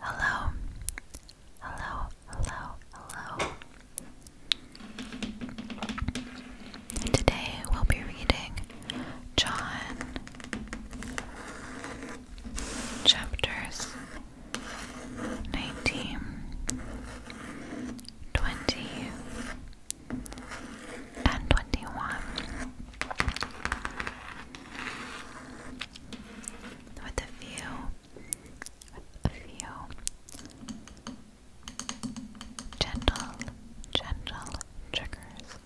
Hello, hello, hello, hello. Today we'll be reading John chapters 19, 20, and 21 with a view, with a few gentle, gentle triggers.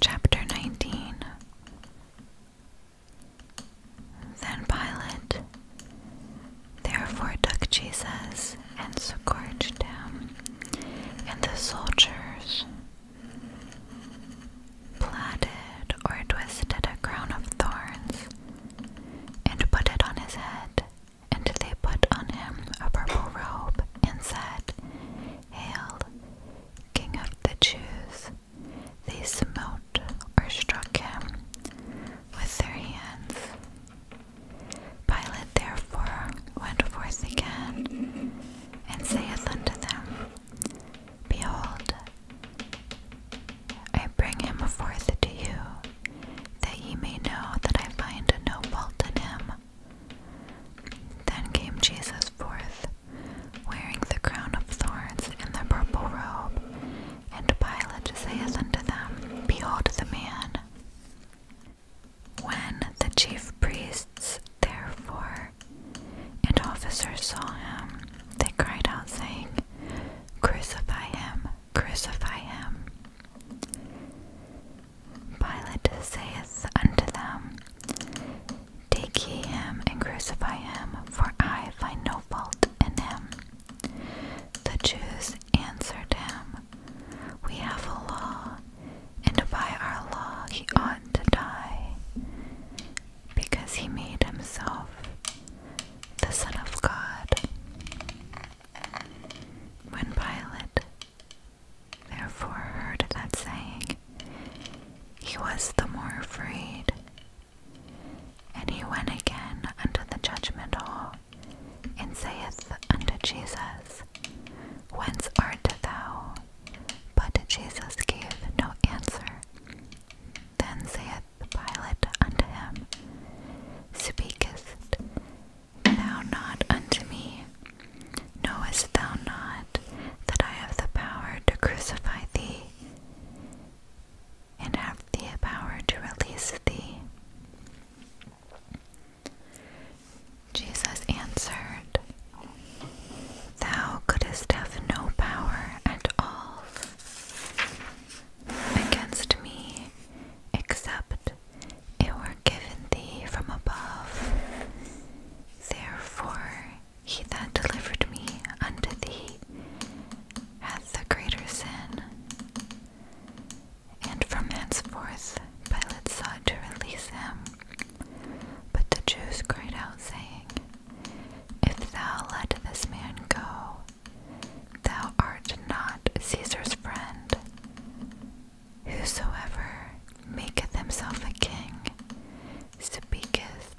Chapter 19 Then Pilate therefore took Jesus and scourged him, and the soldiers plaited or twisted a crown of thorns and put it on his head. And they put on him a purple robe and said, Hail, King of the Jews. They smote or struck him with their hands. Pilate therefore went forth again and saith unto them, Behold, I bring him forth to you, that ye may know that I find no fault in him. Then came Jesus forth, wearing the crown of thorns and the purple robe, and Pilate saith unto them, Behold the man. When the chief priests, therefore, and officers saw him, they cried out, saying, Crucify him, crucify him. Pilate saith unto them, Take ye him and crucify him, for I find no fault in him. The Jews answered him, We have a law, and by our law he ought to die, because he made himself the Son of God. When Pilate therefore heard that saying, he was the more afraid, and he went again unto the judgment hall, and saith unto Jesus, Whence art thou? But Jesus gave no answer. Then saith Pilate unto him, Speakest thou not unto me? Knowest thou not that I have the power to crucify thee, and have the power to release thee? Jesus answered, Thou couldst have no power at all against me except it were given thee from above. Therefore, he that delivered me unto thee hath the greater sin. And from henceforth Pilate sought to release him. But the Jews cried out, saying, If thou let this man go, thou art not Caesar's friend. Whosoever maketh himself a king speaketh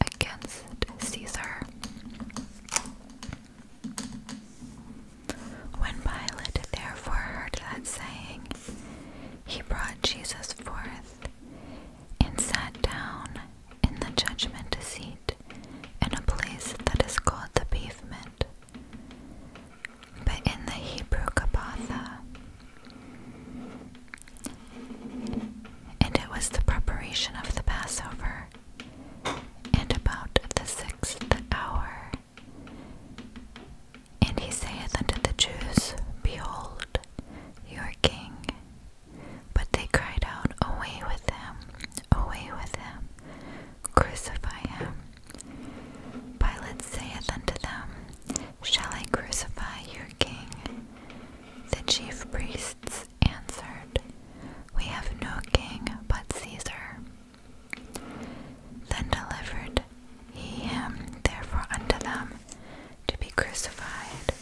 against Caesar. When Pilate therefore heard that saying, he brought Jesus forth and sat down in the judgment seat in a place that is called the pavement, but in the Hebrew Kabatha. And it was the preparation of the Passover, and about the sixth hour. And he saith unto the Jews, Behold, your king. But they cried out, Away with him, away with him, crucify him. Pilate saith unto them, Shall I crucify your king? The chief priests answered, We have no king but Caesar. Then delivered he him therefore unto them to be crucified.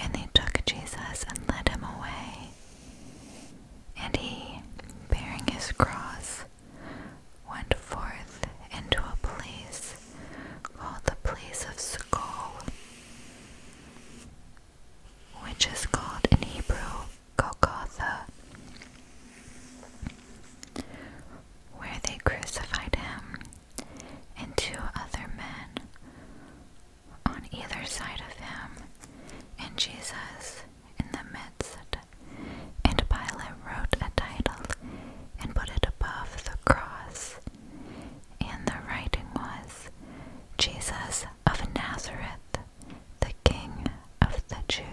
And they took Jesus and led him away. And he, bearing his cross, went forth into a place called the place of Skull, which is called in Hebrew Golgotha, where they crucified him, and two other men on either side of him, and Jesus in the midst. And Pilate wrote a title and put it above the cross, and the writing was Jesus of Nazareth, the King of the Jews.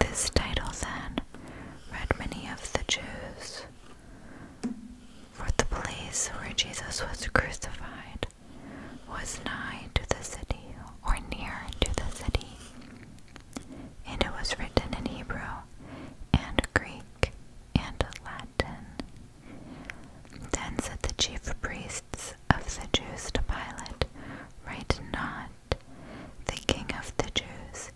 This title then read many of the Jews, for the place where Jesus was crucified was nigh to the city, or near to the city, and it was written in Hebrew, and Greek, and Latin. Then said the chief priests of the Jews to Pilate, Write not, thinking of the Jews,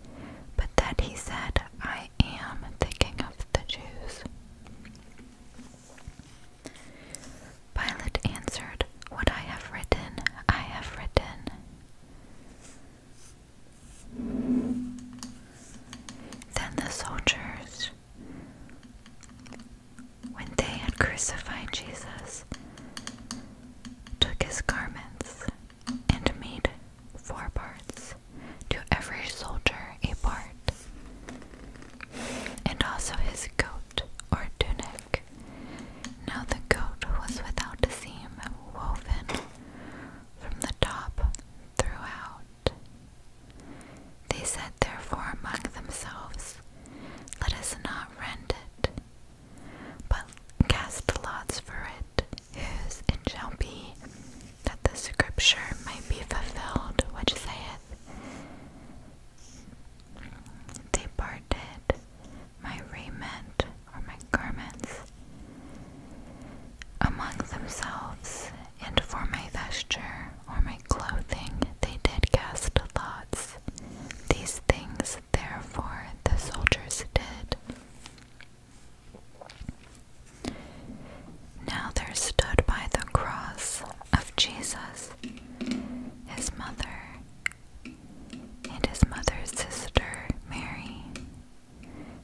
but that he said, I am thinking of the Jews. Pilate answered, What I have written, I have written. Then the soldiers when they had crucified Jesus, took his garments and made four parts, to every soldier a part, and also his coat or tunic. Now the coat was without a seam, woven from the top throughout. They said therefore among themselves, Let us not rend it, but cast lots for it; is whose it shall be, that the scripture might be fulfilled which saith, They parted my raiment or my garments among themselves, and for my vesture or my clothing they did cast lots. These things, therefore, the soldiers did. Now there stood by the cross of Jesus his mother and his mother's sister Mary,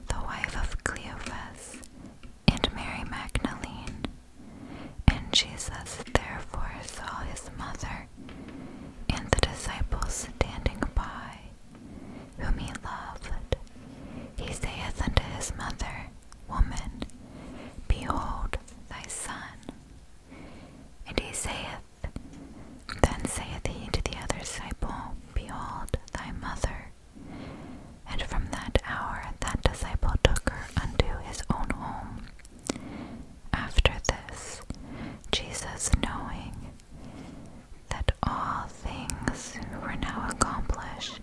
the wife of Cleophas, and Mary Magdalene. And Jesus therefore saw his mother and the disciples standing by, whom he loved, he saith unto his mother, Woman, behold thy son. And he saith, Then saith he to the other disciple, Behold thy mother. And from that hour that disciple took her unto his own home, after this, Jesus, knowing that all things were now accomplished,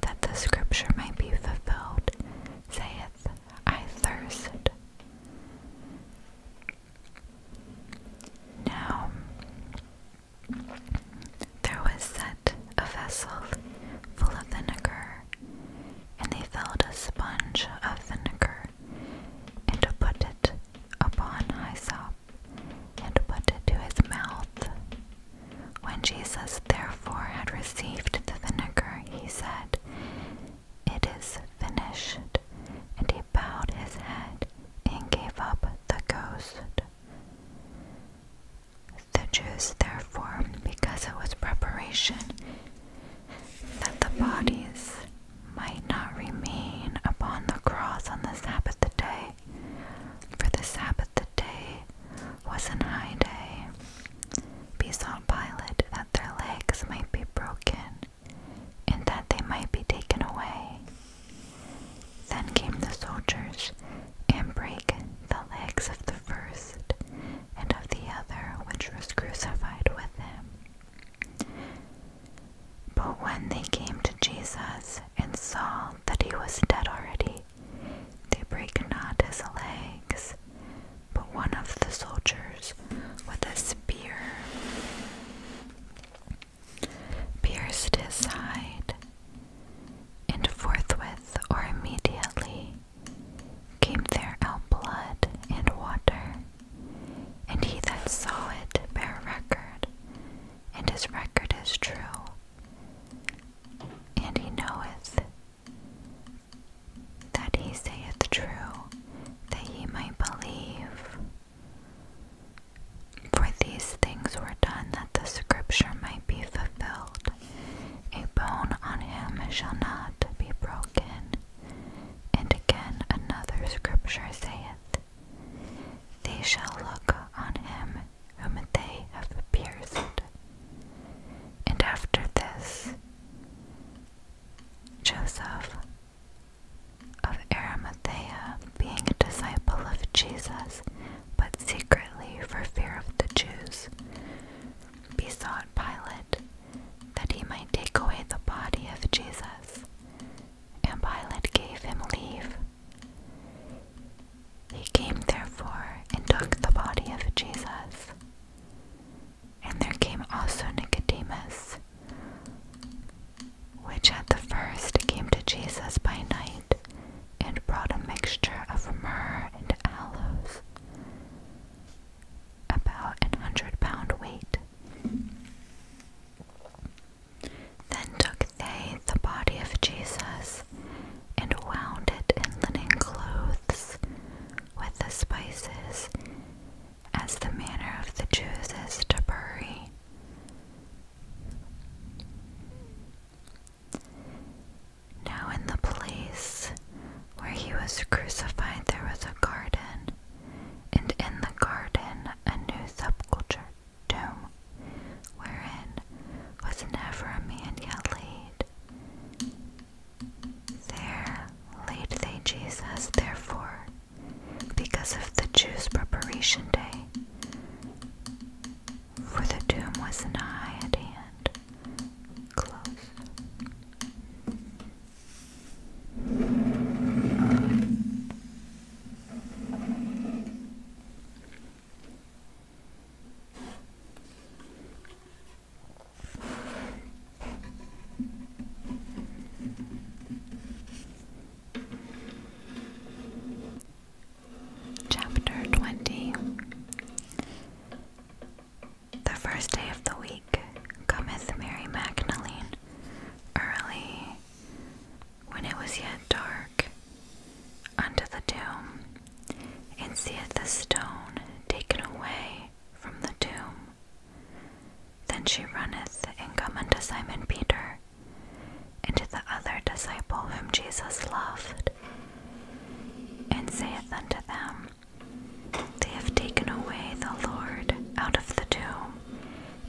that the scripture might be fulfilled, saith, I thirst. Now there was set a vessel full of vinegar, and they filled a sponge of vinegar and put it upon hyssop, and put it to his mouth. When Jesus therefore had received the vinegar, he said, It is finished. And he bowed his head and gave up the ghost. The Jews, therefore, because it was preparation, that the bodies might not remain upon the cross on the Sabbath day, for the Sabbath day was an high day. Besought Pilate that their legs might be broken, and that they might be taken away. Then came the soldiers and brake the legs of the first and of the other which was crucified with him. But when they came to Jesus and saw that he was dead already, they brake not his legs. But one of the soldiers with a spear pierced his side, and forthwith or immediately came there out blood and water and he that saw it bare record, and his record is true, and he knoweth that he saith true, that ye might believe. For these things were done that the scripture might be fulfilled. A bone on him shall not be broken. And again another scripture saith, They shall look on him whom they have pierced. And after this, Joseph of Arimathea, being a disciple of Jesus, but secretly for fear of the Jews, besought on Pilate, that he might take away the body of Jesus. And Pilate gave him leave. He came therefore and took the body of Jesus. And there came also Nicodemus, which at the first came to Jesus by night, and brought a mixture of myrrh and aloes about an hundred pound weight. Then took they the body of Jesus and wound it in linen clothes with the spices, as the manner of the Jews is to bury. Now, in the place where he was crucified, there was a garden and in the garden a new subculture doom, wherein was never a man yet laid. There laid they Jesus, therefore, because of the Jews' preparation day, for the doom was nigh at hand, close. Chapter 20 the first day of the week cometh Mary Magdalene early, when it was yet dark, unto the tomb, and seeth the stone taken away from the tomb. Then she runneth and cometh unto Simon Peter, and to the other disciple whom Jesus loved, and saith unto them, they have taken away the Lord out of the tomb,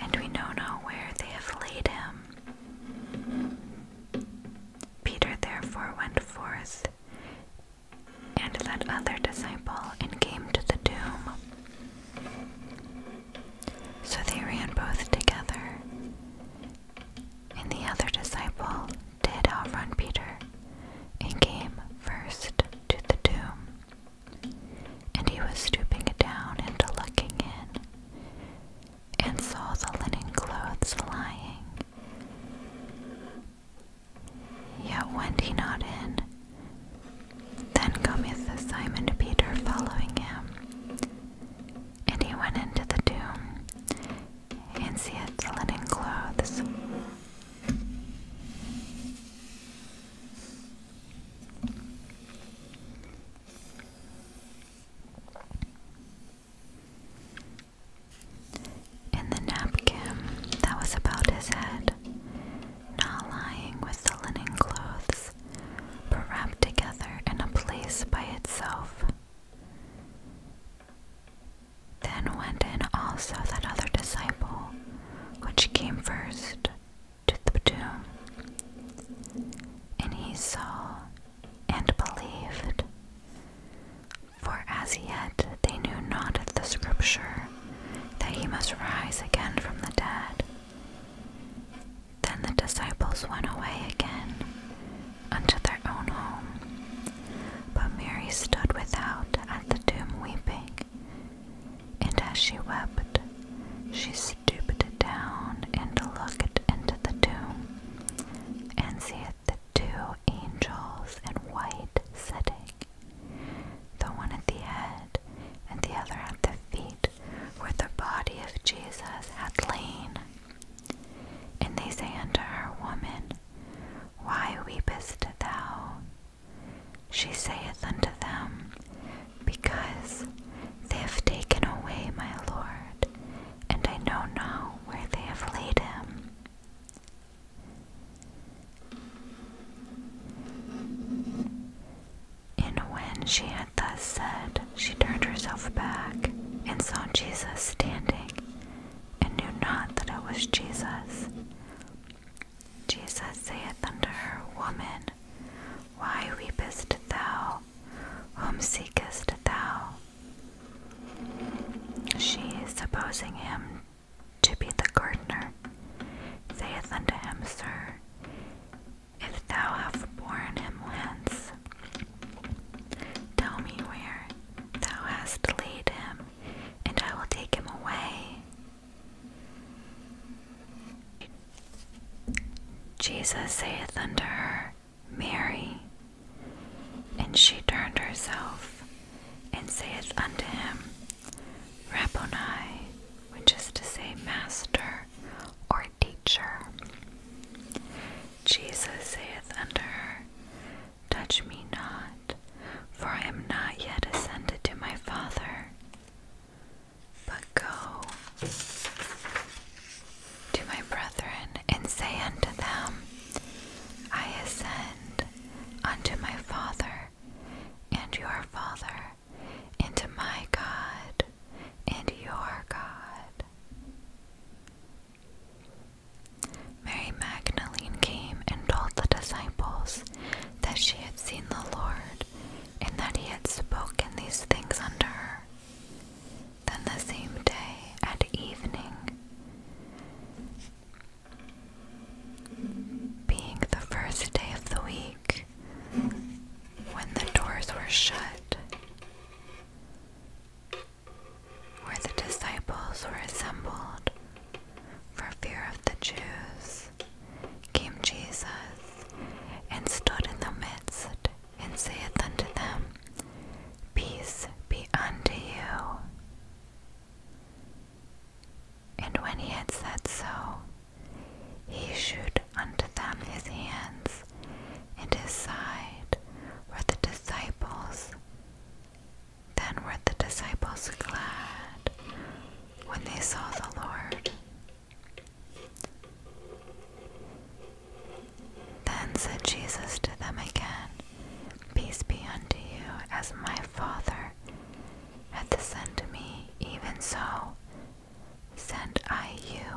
and we know not where they have laid him. Peter therefore went forth, and that other disciple, and came to the tomb. So they ran both together. And the other disciple did outrun Peter and came first to the tomb. And he was stooping down and looking in, and saw the linen clothes lying. Yet went he not in. Then cometh Simon Peter following him. And he went into the tomb, and seeth the linen clothes, in the napkin that was about his head, not lying with the linen clothes, but wrapped together in a place by itself. Then went in also that other disciple, which came first, to the tomb. And he saw and believed. For as yet they knew not the scripture that he must rise again from the dead. Then the disciples went away again unto their own home. But Mary stood without at the tomb weeping, and as she wept, she stooped down and looked into the tomb, and seeth the two angels in white sitting, the one at the head and the other at the feet, where the body of Jesus had lain. And they say unto her, Woman, why weepest thou? She saith unto them, Because they have taken away my Lord, and I know not where they have laid him. And when she had thus said, she turned herself back, and saw Jesus standing, and knew not that it was Jesus. Jesus saith unto her, Woman, why weepest thou? Whom seekest thou? She, supposing him to be the gardener, saith unto him, Sir, if thou have borne him hence, tell me where thou hast laid him, and I will take him away. Jesus saith unto her, Mary. And she turned herself, and saith unto him, Rabboni, which is to say, Master or Teacher. Jesus saith unto her, Touch me not, for I am not yet ascended to my Father but go to my brethren and say unto them, I ascend unto my Father and your Father, and my God and your God. Mary Magdalene came and told the disciples that she had seen the Lord word, in that he had spoken these things unto her. Then the same day at evening, being the first day of the week, when the doors were shut, where the disciples were assembled for fear of the Jews, came Jesus, and stood in the midst, and saith unto them, Peace be unto you. And when he had said so, he shewed unto them his hands and his side, were the disciples. Then were the disciples glad when they saw the Lord. Then said Jesus to them again, Peace be unto you, as my Father hath sent me, even so sent I you.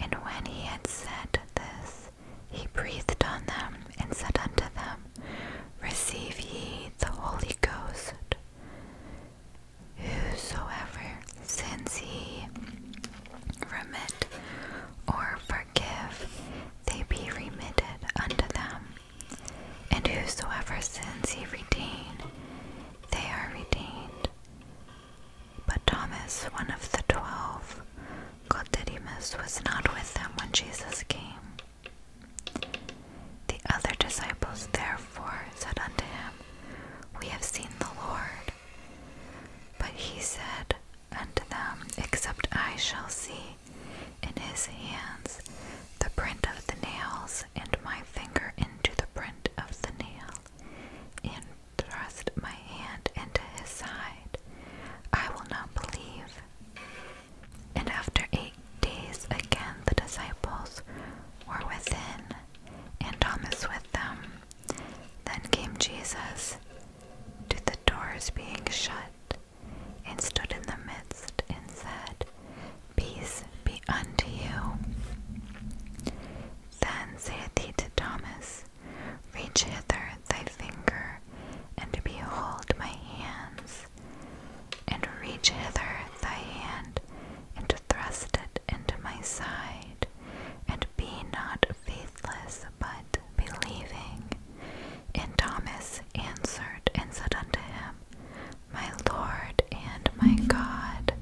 And when he had said this, he breathed on them and said unto them, Receive ye the Holy Ghost. Whosoever sins he, remit or forgive, they be remitted unto them. And whosoever sins he retain, they are retained. But Thomas, one of the twelve, Codidimus, was not with them when Jesus came. The other disciples therefore said unto him, We have seen the Lord. But he said unto them, Except I shall see in his hands the print of the nails, and my finger into the print of the nail, and thrust my hand into his side, I will not believe. And after eight days again the disciples were within, and Thomas with them. Then came Jesus to the doors being shut, and stood in the midst, and said, Peace be unto you. Then saith he to Thomas, Reach hither thy finger, and behold my hands, face, and reach hither thy hand, and thrust it into my side, and be not faithless, but believing. And Thomas answered and said unto him, My Lord and my God.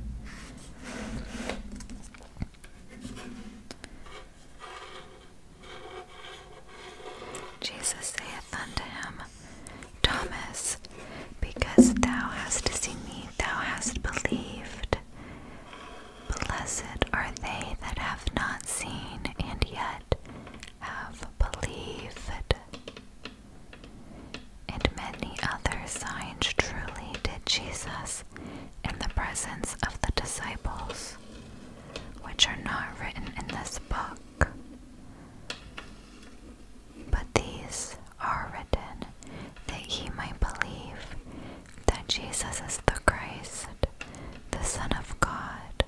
Jesus saith unto him, Thomas, because thou hast seen me, thou hast believed. Blessed are they that have not seen and yet have believed. And many other signs truly did Jesus in the presence of the disciples, which are not written in this book. But these are written that he might believe that Jesus is the Christ, the Son of God,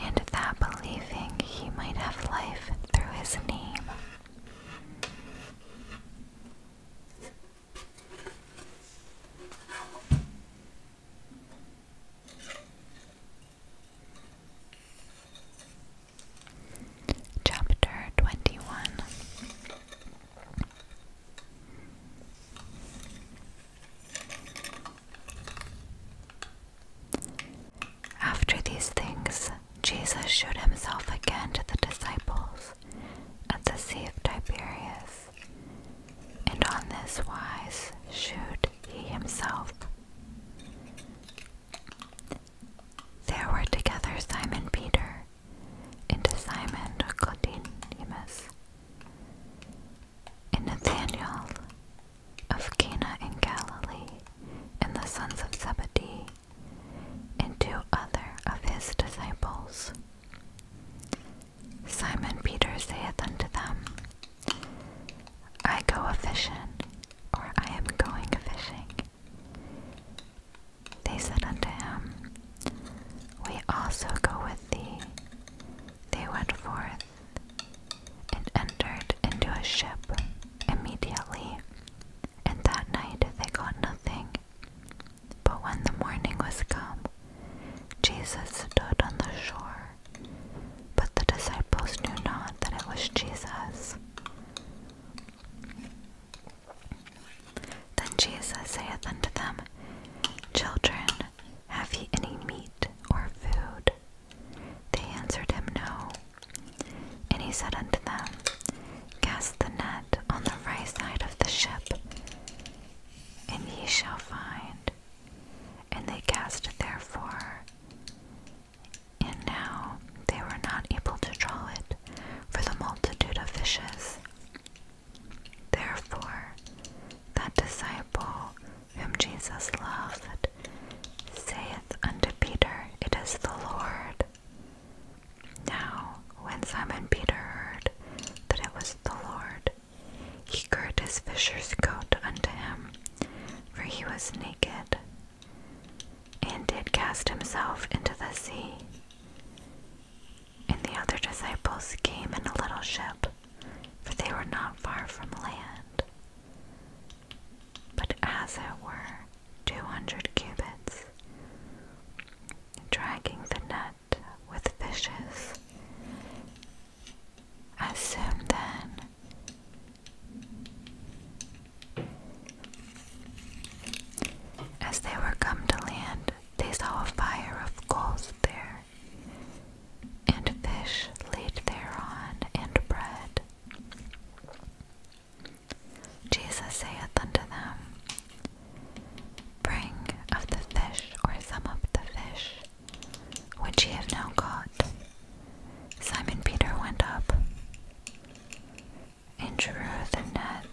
and that believing he might have life through his name. Chapter 21 After these things, Jesus showed himself again to the disciples at the Sea of Tiberias, and on this wise shewed he himself. There were together Simon Peter and Simon Nicodemus and Nathanael of Cana in Galilee and the sons of Zebedee and two other of his disciples. Simon Peter saith unto them, I go fishing, or I am going fishing. They said unto him, We also go with thee. They went forth and entered into a ship immediately, and that night they got nothing. But when the morning was come, Jesus stood on the shore, but the disciples knew not that it was Jesus. Then Jesus saith unto them, Children, have ye any meat or food? They answered him, No. And he said unto them, Cast the net on the right side of the ship, and ye shall find. And they cast it therefore, and now they were not able to draw it for the multitude of fishes. Therefore, that disciple whom Jesus loved saith unto Peter, It is the Lord. Now, when Simon Peter heard that it was the Lord, he girt his fisher's coat unto him, for he was naked and did cast himself into the sea. And the other disciples came in a little ship, for they were not far from land. But as it were, two hundred cubits, dragging the net with fishes. As soon then as they were come to land, they saw a fire of coals there, and fish laid thereon, and bread. Jesus saith unto them, Bring of the fish, or some of the fish, which ye have now caught, Simon Peter went up and drew the net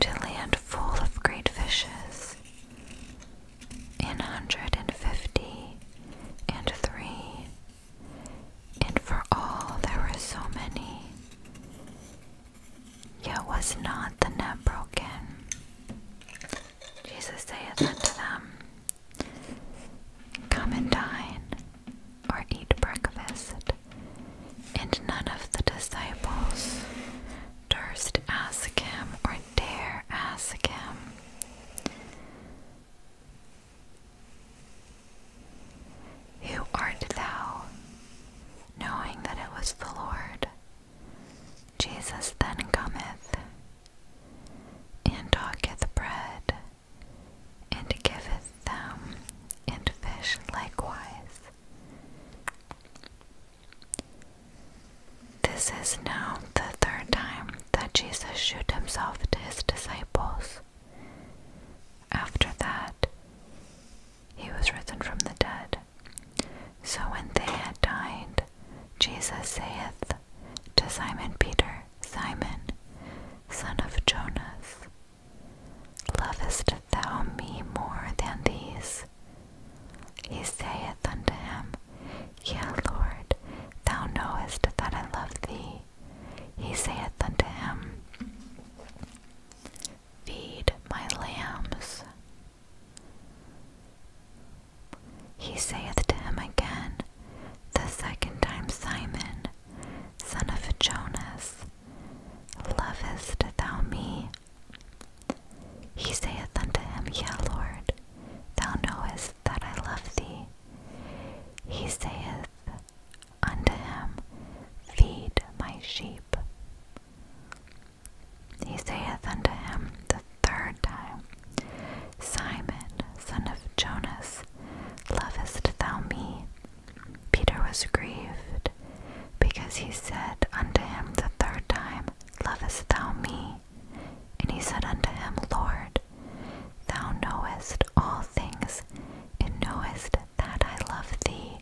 to land full of great fishes, an hundred and fifty and three, and for all there were so many, yet was not the net broken. Jesus saith unto them, Come and dine, or eat breakfast. And none of the disciples durst ask him or dare ask him. Who art thou? Knowing that it was the Lord. Jesus then cometh, and taketh bread, and giveth them, and fish likewise. This is now the third time that Jesus shewed himself to his disciples. After that, he was risen from the dead. So when they had dined, Jesus saith to Simon Peter, Simon, son of Jonas, lovest thou me more than these? He saith unto him, Yea, Lord, thou knowest that I love thee. He saith unto him, Feed my lambs. He saith to him again, the second time, Simon, son of Jonas, lovest thou me? He saith unto him, Yea, Lord, thou knowest that I love thee. He saith unto him, Feed my sheep. He saith unto him the third time, Simon, son of Jonas, lovest thou me? Peter was grieved, because he said unto him the third time, Lovest thou me? And he said unto him, Lord, thou knowest all things, and knowest that I love thee.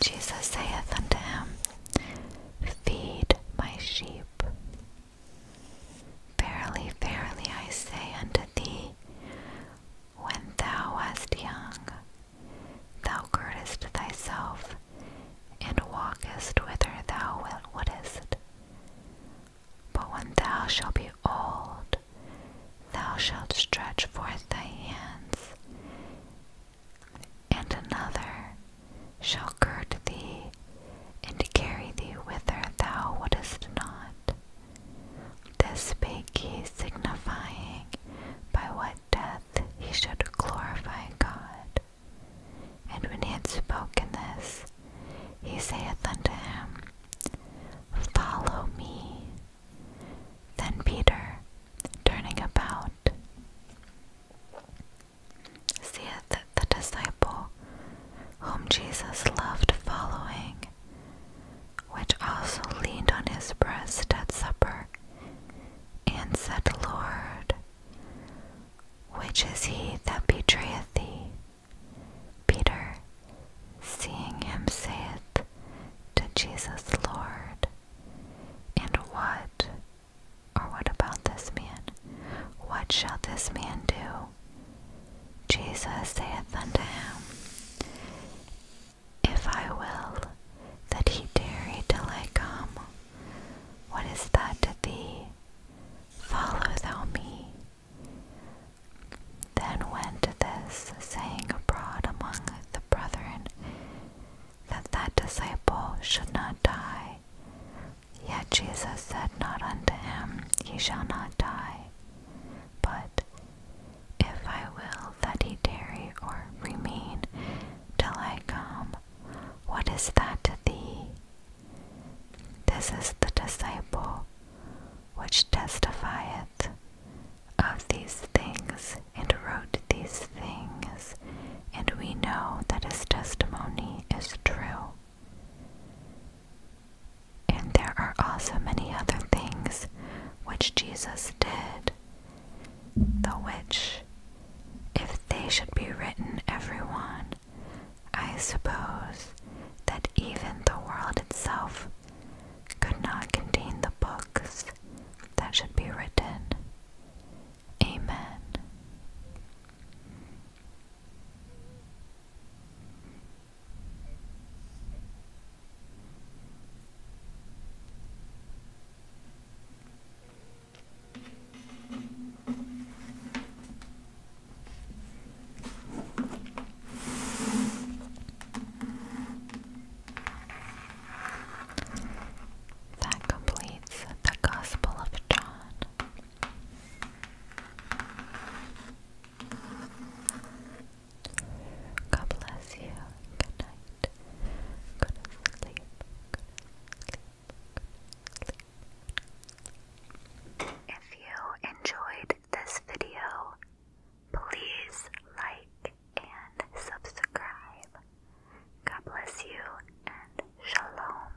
Jesus saith unto him, Feed my sheep. Verily, verily, I say unto thee, when thou wast young, thou girdest thyself, and walkest whither thou wouldest. But when thou shalt be old, thou shalt stretch forth thy hands, and another shall gird thee and carry thee whither thou wouldest not. This spake he, signifying by what death he should glorify God. And when he had spoken this, he saith unto him, Follow me. Then Peter, turning about, seeth the disciple whom Jesus loved following, which also leaned on his breast at supper, and said, Lord, which is he that betrayeth thee? Peter, seeing him, saith to Jesus, Lord, and what, or what about this man? What shall this man do Jesus saith unto him, If I will that he tarry till I come, what is that to thee? Follow thou me. Then went this saying abroad among the brethren, that that disciple should not die. Yet Jesus said not unto him, He shall not die, but if I will that he tarry or remain till I come, what is that to thee? This is the disciple which testifieth of these things and wrote these things, and we know that his testimony is true. And there are also many other things which Jesus did, the which, if they should be written, everyone, I suppose that even the world itself could not contain the books that should be written. Amen. That completes the Gospel of John. God bless you. Good night. Good sleep. If you enjoyed this video, please like and subscribe. God bless you and shalom.